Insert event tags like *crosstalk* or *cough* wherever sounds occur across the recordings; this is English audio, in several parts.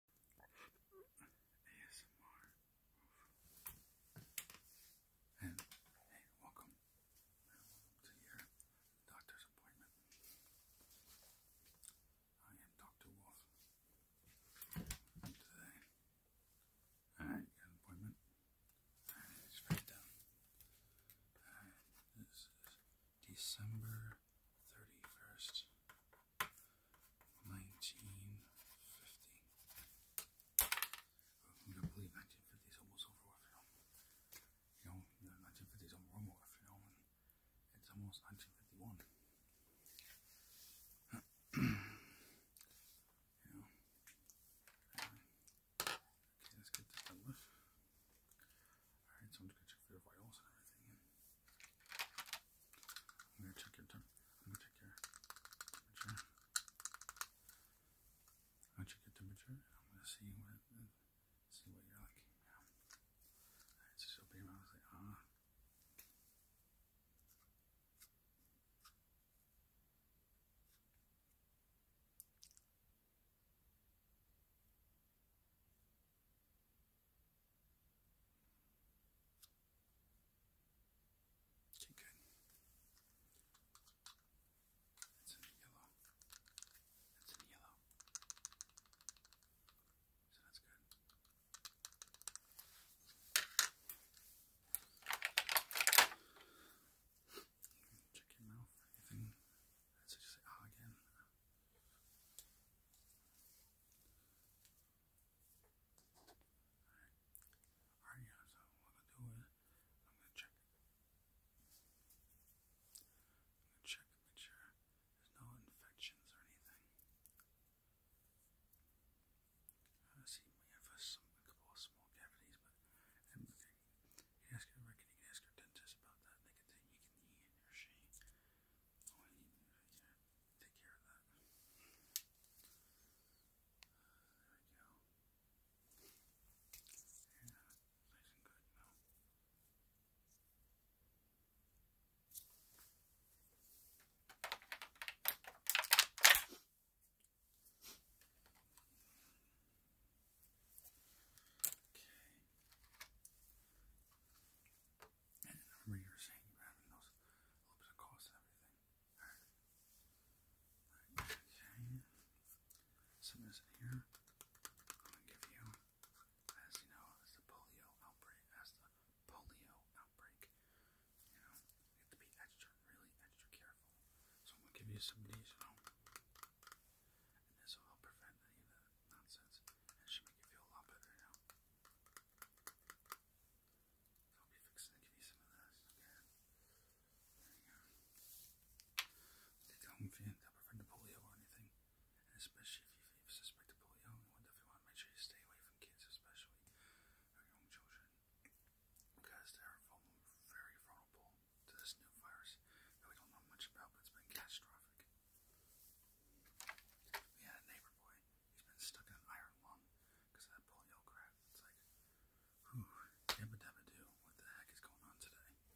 ASMR. And hey, welcome. to your doctor's appointment. I am Dr. Wolf. today, I got an appointment. It's down. Uh, this is December 31st, 1950. i believe 1950 is almost over you know. 1950 is over you know, it's almost 1951. *clears throat* you Okay, let's get this done with. Alright, so I'm just going to check for your vitals and everything. I'm gonna check your temperature. I'm gonna check your temperature. I'm gonna see what see what you're like. just open your mouth. ah. Okay, good. That's in yellow. That's in yellow. So that's good. Check your mouth. Anything? That's just ah again. Alright, All right, yeah, so what I'll do is I'm going to check it. I'm going to check to make sure there's no infections or anything. I see we have some, couple of small cavities, but i You can ask your, dentist about that. They can, you can, he or she Oh, I take care of that. there we go. Yeah, nice and good Okay. And I remember you were saying you were having those a little cost everything. Alright. Right. So this here, I'm gonna give you, as you know, as the polio outbreak, as the polio outbreak, you know, have to be extra, really extra careful. So I'm gonna give you some of these, you know, and this will help prevent any of the nonsense. it should make you feel a lot better now. I'll be fixing to give you some of this. Okay. There you go. They tell them if you end up prevent polio or anything. especially if you, if you suspect of polio, you want make sure you stay away from kids, especially young children. Because they're very vulnerable to this new virus that we don't know much about, but it's been catastrophic. We had a neighbor boy. He's been stuck in an iron lung because of that polio crap. It's like, whew, dabba dabba do. What the heck is going on today? I'll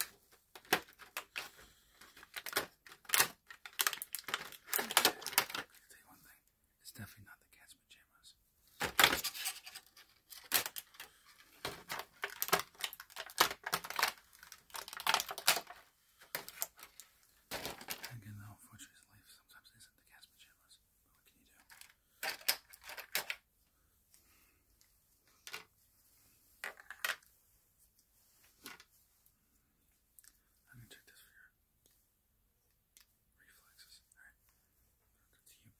tell you one thing. It's definitely not the cat's pajamas. Again, though, unfortunately, sometimes they send the gas pajamas, but what can you do? I'm check this for your reflexes. Alright. Good to you.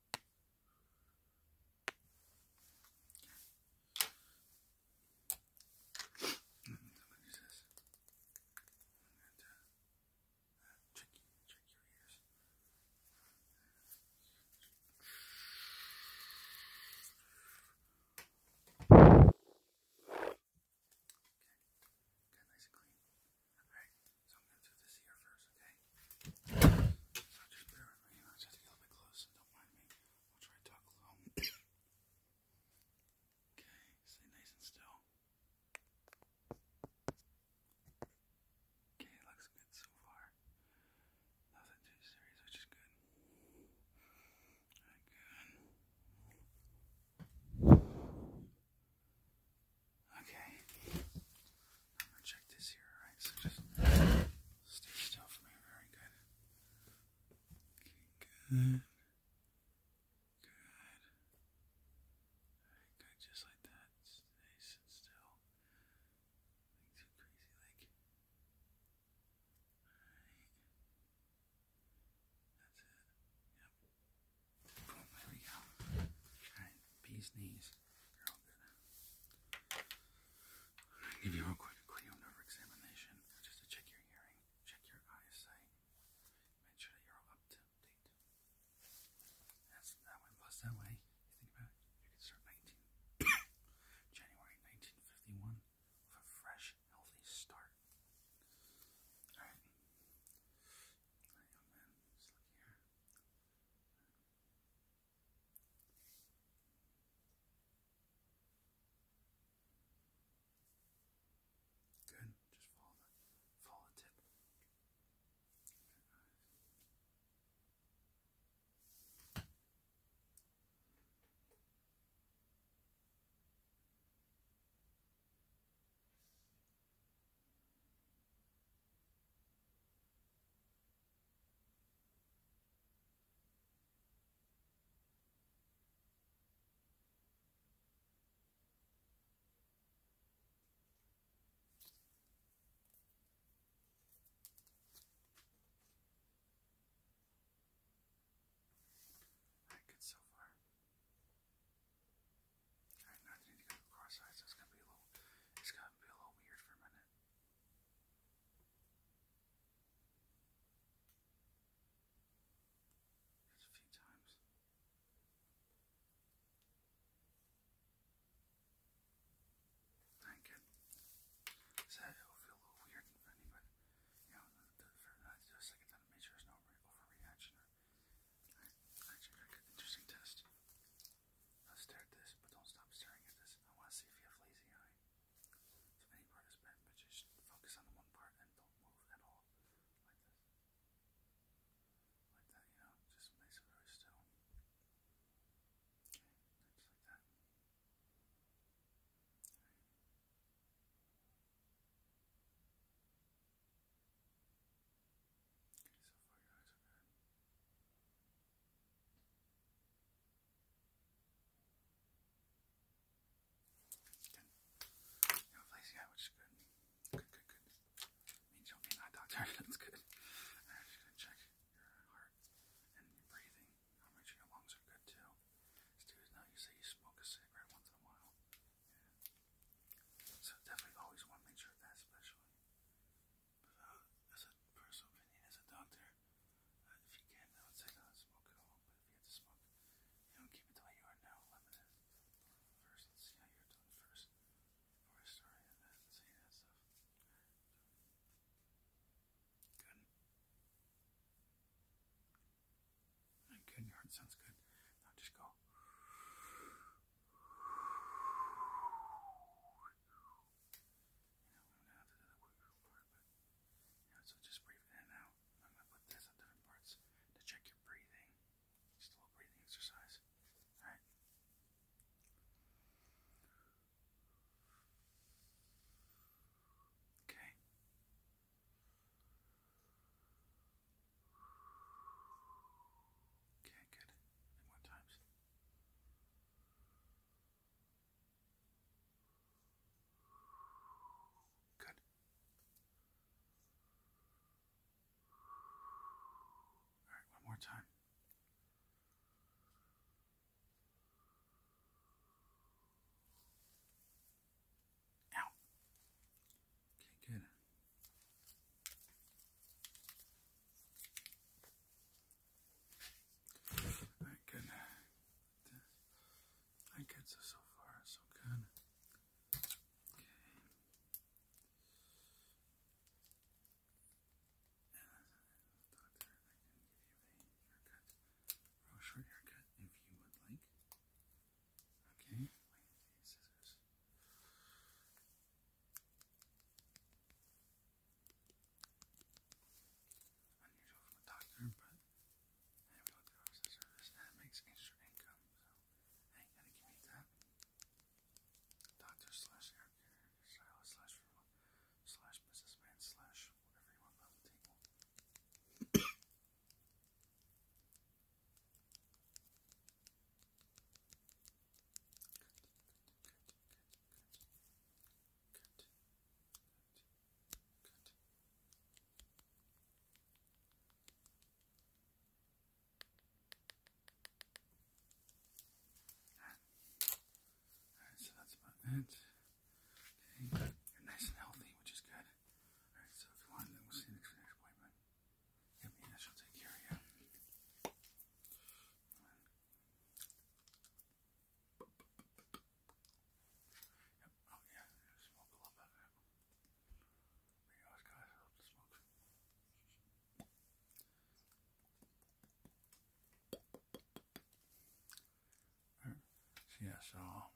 I'm gonna use this. And, uh, check, check your ears. Okay, got nice and clean. Alright, so I'm going to do this here first, okay? So just bear with me, I just have to get a little bit close, don't mind me. I'll try to talk low. okay, stay nice and still. Okay, looks good so far. Nothing too serious, which is good. good. Okay. I'm gonna check this here, alright? So just stay still for me. Very good. good. Good. Very good, just like that. Nice still. too crazy like. Alright. That's it there we go. Alright, bees knees. You're all good. I'm gonna give you a quick cranial nerve examination just to check your hearing, check your eyesight, make sure that you're all up to date. That's that way plus that way. You think about it, you could start 19 January 1951 with a fresh, healthy start. Alright. Alright, young Good. Just follow the follow the tip. All right, good so far. I need to go cross-eyed, so it's gonna be a little, it's gonna be a little weird for a minute. a few times. Thank you. So it will feel a little weird and funny, but you know, for, uh, do a second time to sure there's no overreaction Interesting test. Now stare at this, but don't stop staring at this. I want to see if you have lazy eye. So any part is bent, but just focus on the one part and don't move at all. Like this. Like that, you know? Just place very still. just like that. Okay, so far your eyes are good. Good. You're replacing eye, which is good. Good, good, good. Means you'll be an eye doctor. That's good. Alright, just gonna check your heart and your breathing. I'll make sure your lungs are good too. Students, now you say you smoke a cigarette once in a while. Yeah. So definitely always want to make sure that especially. Uh, as a personal opinion, as a doctor, uh, if you can, I not smoke at all. But if you have to smoke, you know, keep it the way you are now, limited. First, let's see how you're doing first before I start and then uh, that stuff. Good. I'm good. Your heart sounds good. Now just go. I'm so just breathe in and out. I'm gonna put this on different parts to check your breathing. Just a little breathing exercise. All right. Okay. Okay, good. more times? Good. All right, one more time. Okay, good. I right, good so far, so good. Okay. Uh, I can give you a short haircut if you would like. Okay, Unusual from a doctor, but I have looked at service and makes extra income, so I ain't gonna give me that. Doctor slash air care slash slash Mrs. Man slash whatever you want on the table. Alright, so that's about it. you're nice and healthy, which is good. Alright, so if you want, then we'll see you next, next appointment. Yeah, me and I shall take care of you. Yep. Oh yeah, smoke a little bit. You always gotta help the smoke. Alright. So yeah, so um,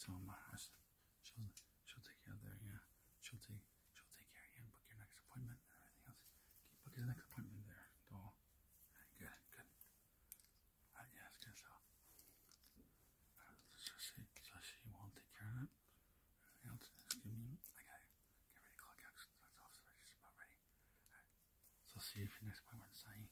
so my I said She'll she'll take you out there, yeah. She'll take she'll take care of you and book your next appointment everything else. book your next appointment there, doll? good, good. yeah, good. So, uh, so she so she will take care of it. Everything else, give get ready to clock out. That's off. So she's about ready. So see you for next appointment, Sai.